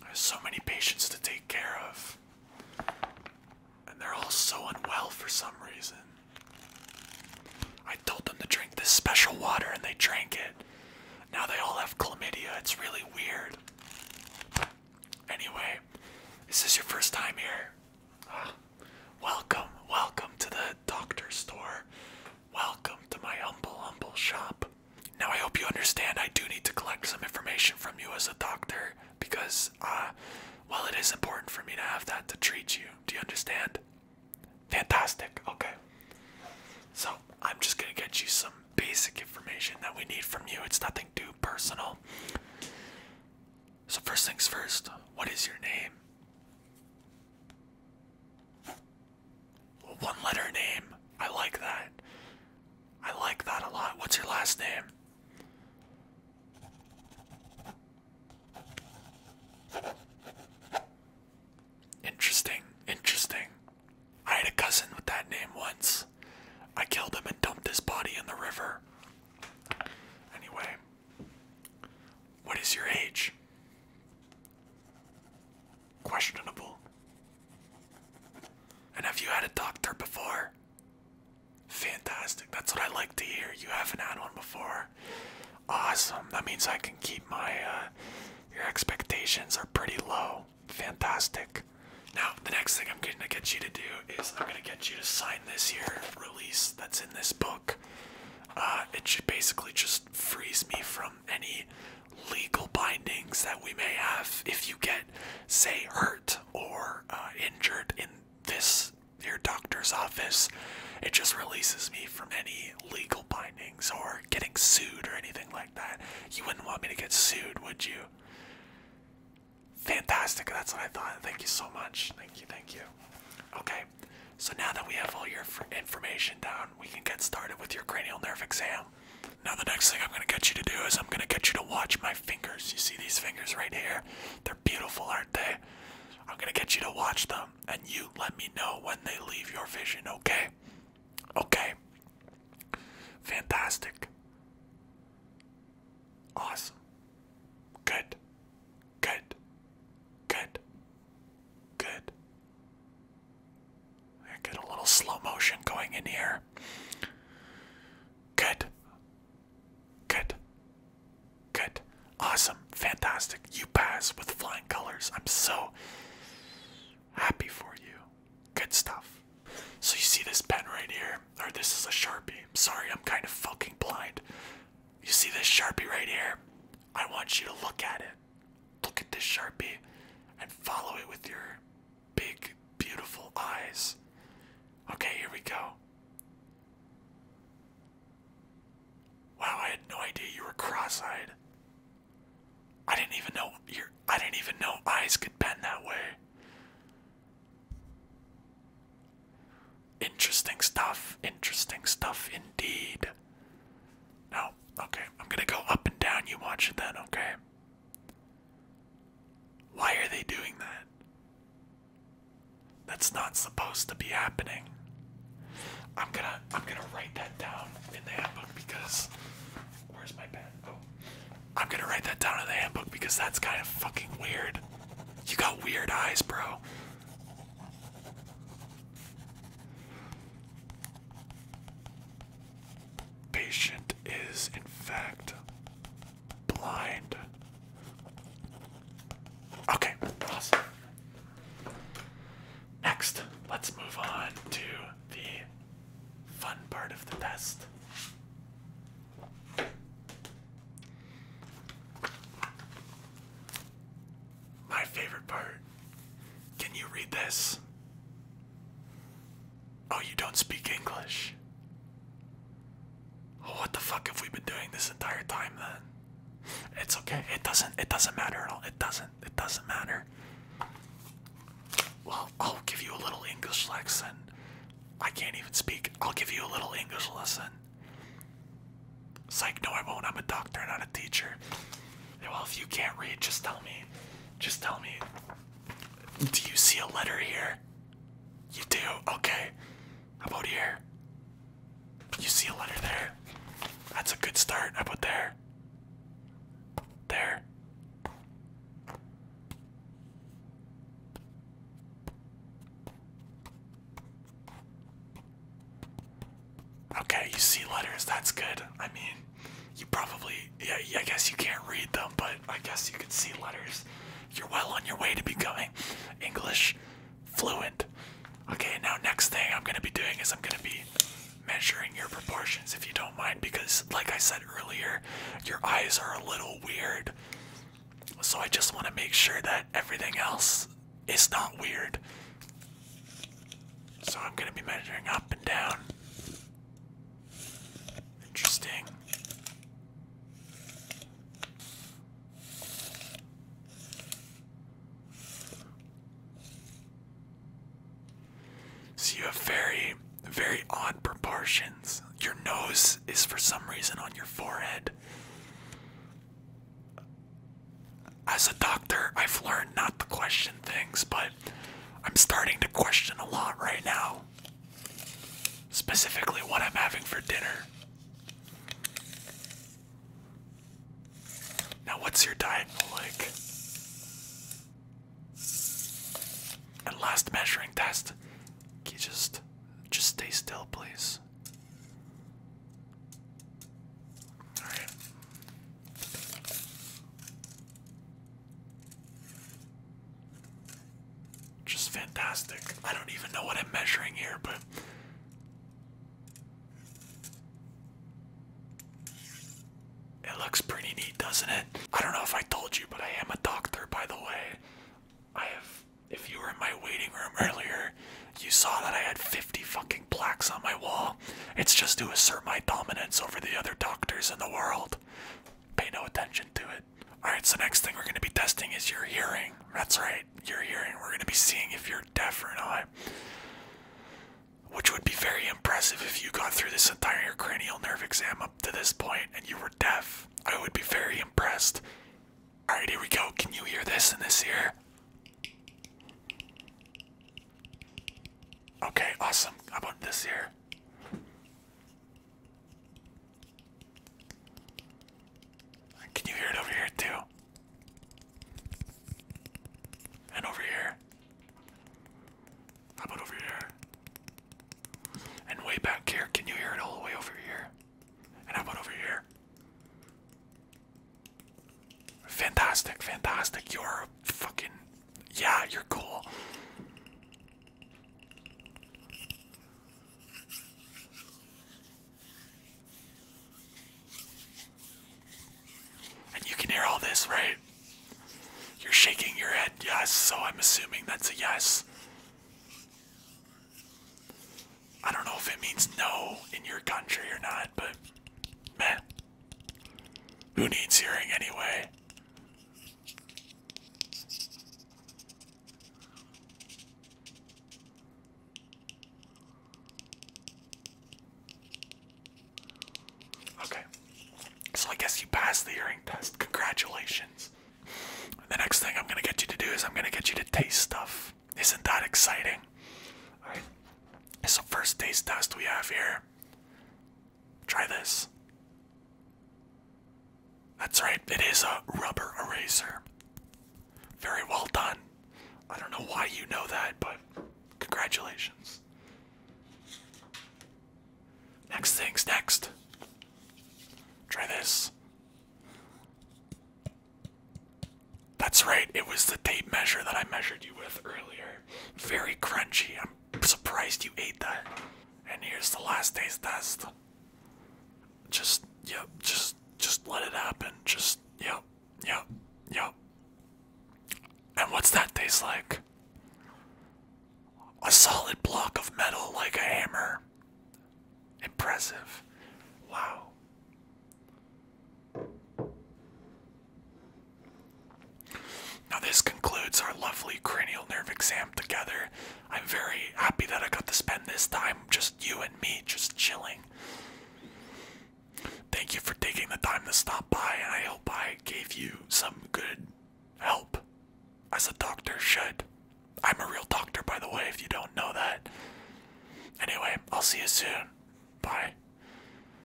There's so many patients to take care of, and they're all so unwell for some reason. I told them to drink this special water, and they drank it. Now they all have chlamydia. It's really weird. Anyway, this is your first time here? Ah, welcome, welcome to the doctor's store. Welcome to my humble, humble shop. Now, I hope you understand I do need to collect some information from you as a doctor because, uh, well, it is important for me to have that to treat you. Do you understand? Fantastic. Okay. So, I'm just going to get you some basic information that we need from you. It's nothing too personal. So, first things first, what is your name? One letter name. I like that. I like that a lot. What's your last name? Interesting, interesting. I had a cousin with that name once. I killed him and dumped his body in the river. Anyway, what is your age? questionable. And have you had a doctor before? Fantastic. That's what I like to hear. You haven't had one before. Awesome. That means I can keep my uh your expectations are pretty low. Fantastic. Now, the next thing I'm going to get you to do is I'm going to get you to sign this here release that's in this book. Uh, it should basically just frees me from um, any legal bindings that we may have if you get, say, hurt or uh, injured in this your doctor's office. It just releases me from any legal bindings or getting sued or anything like that. You wouldn't want me to get sued, would you? Fantastic, that's what I thought. Thank you so much. Thank you, thank you. Okay, so now that we have all your information down, we can get started with your cranial nerve exam now. the next thing I'm gonna get you to do is I'm gonna get you to watch my fingers. You see these fingers right here? They're beautiful, aren't they? I'm gonna get you to watch them and you let me know when they leave your vision, okay? Okay. Fantastic. Awesome. Good. Good. Good. Good. I Get a little slow motion going in here. Good. Good. Good. Awesome. Fantastic. You pass with flying colors. I'm so happy for you. Good stuff. So you see this pen right here? Or this is a Sharpie. I'm Sorry, I'm kind of fucking blind. You see this Sharpie right here? I want you to look at it look at this Sharpie and follow it with your big, beautiful eyes. Okay, here we go. Wow, I had no idea you were cross-eyed. I didn't even know your I didn't even know eyes could bend that way. Interesting stuff, interesting stuff indeed. Now, Okay, I'm gonna go up and down. You watch it then, okay? Why are they doing that? That's not supposed to be happening. I'm gonna I'm gonna write that down in the handbook because where's my pen? Oh. I'm gonna write that down in the handbook because that's kind of fucking weird. You got weird eyes, bro patient is, in fact, blind. Okay, awesome. Next, let's move on to the fun part of the test. My favorite part. Can you read this? Oh, you don't speak English. Oh, what the fuck have we been doing this entire time then? It's okay. It doesn't it doesn't matter at all. It doesn't. It doesn't matter. Well, I'll give you a little English lesson. I can't even speak. I'll give you a little English lesson. It's like, no, I won't. I'm a doctor, not a teacher. Well, if you can't read, just tell me. Just tell me. Do you see a letter here? You do? Okay. How about here? You see a letter there? That's a good start. How about there? There. Okay, you see letters. That's good. I mean, you probably, yeah, I guess you can't read them, but I guess you can see letters. You're well on your way to becoming English fluent. Okay, now next thing I'm going to be doing is I'm going to be measuring your proportions if you don't mind, because like I said earlier, your eyes are a little weird. So I just want to make sure that everything else is not weird. So I'm going to be measuring up and down. Interesting. So you have very, very odd proportions. Your nose is for some reason on your forehead as a doctor, I've learned not to question things, but I'm starting to question a lot right now. Specifically, what I'm having for dinner. Now, what's your diet like? And last measuring test. just, just stay still, please? Just fantastic. I don't even know what I'm measuring here, but. It looks pretty neat, doesn't it? I don't know if I told you, but I am a doctor, by the way. I have. If you were in my waiting room earlier, you saw that I had 50 fucking plaques on my wall. It's just to assert my dominance over the other doctors in the world. Pay no attention to it. Alright, so next thing we're going to be testing is your hearing. That's right, your hearing. We're going to be seeing if you're deaf or not. Which would be very impressive if you got through this entire cranial nerve exam up to this point and you were deaf. I would be very impressed. Alright, here we go. Can you hear this in this ear? Okay, awesome. How about this here? Can you hear it over here too? And over here. How about over here? And way back here, can you hear it all the way over here? And how about over here? Fantastic, fantastic. You're a fucking. Yeah, you're cool. And you can hear all this, right? You're shaking your head, yes, so I'm assuming that's a yes. I don't know if it means no in your country or not, but meh. Who needs hearing anyway? Okay. So I guess you passed the hearing test. Congratulations. The next thing I'm going to get you to do is I'm going to get you to taste stuff. Isn't that exciting? Alright. So, first taste test we have here Try this. That's right, it is a rubber eraser. Very well done. I don't know why you know that, but congratulations. Next thing's next. Try this. That's right, it was the tape measure that I measured you with earlier. Very crunchy. I'm surprised you ate that. And here's the last taste test. Just, yep, just, just let it happen. Just, yep, yep, yep. And what's that taste like? A solid block of metal like a hammer. Impressive. Wow. Now, this concludes our lovely cranial nerve exam together. I'm very happy that I got to spend this time just you and me, just chilling. Thank you for taking the time to stop by, and I hope I gave you some good help, as a doctor should. I'm a real doctor, by the way, if you don't know that. Anyway, I'll see you soon. Bye.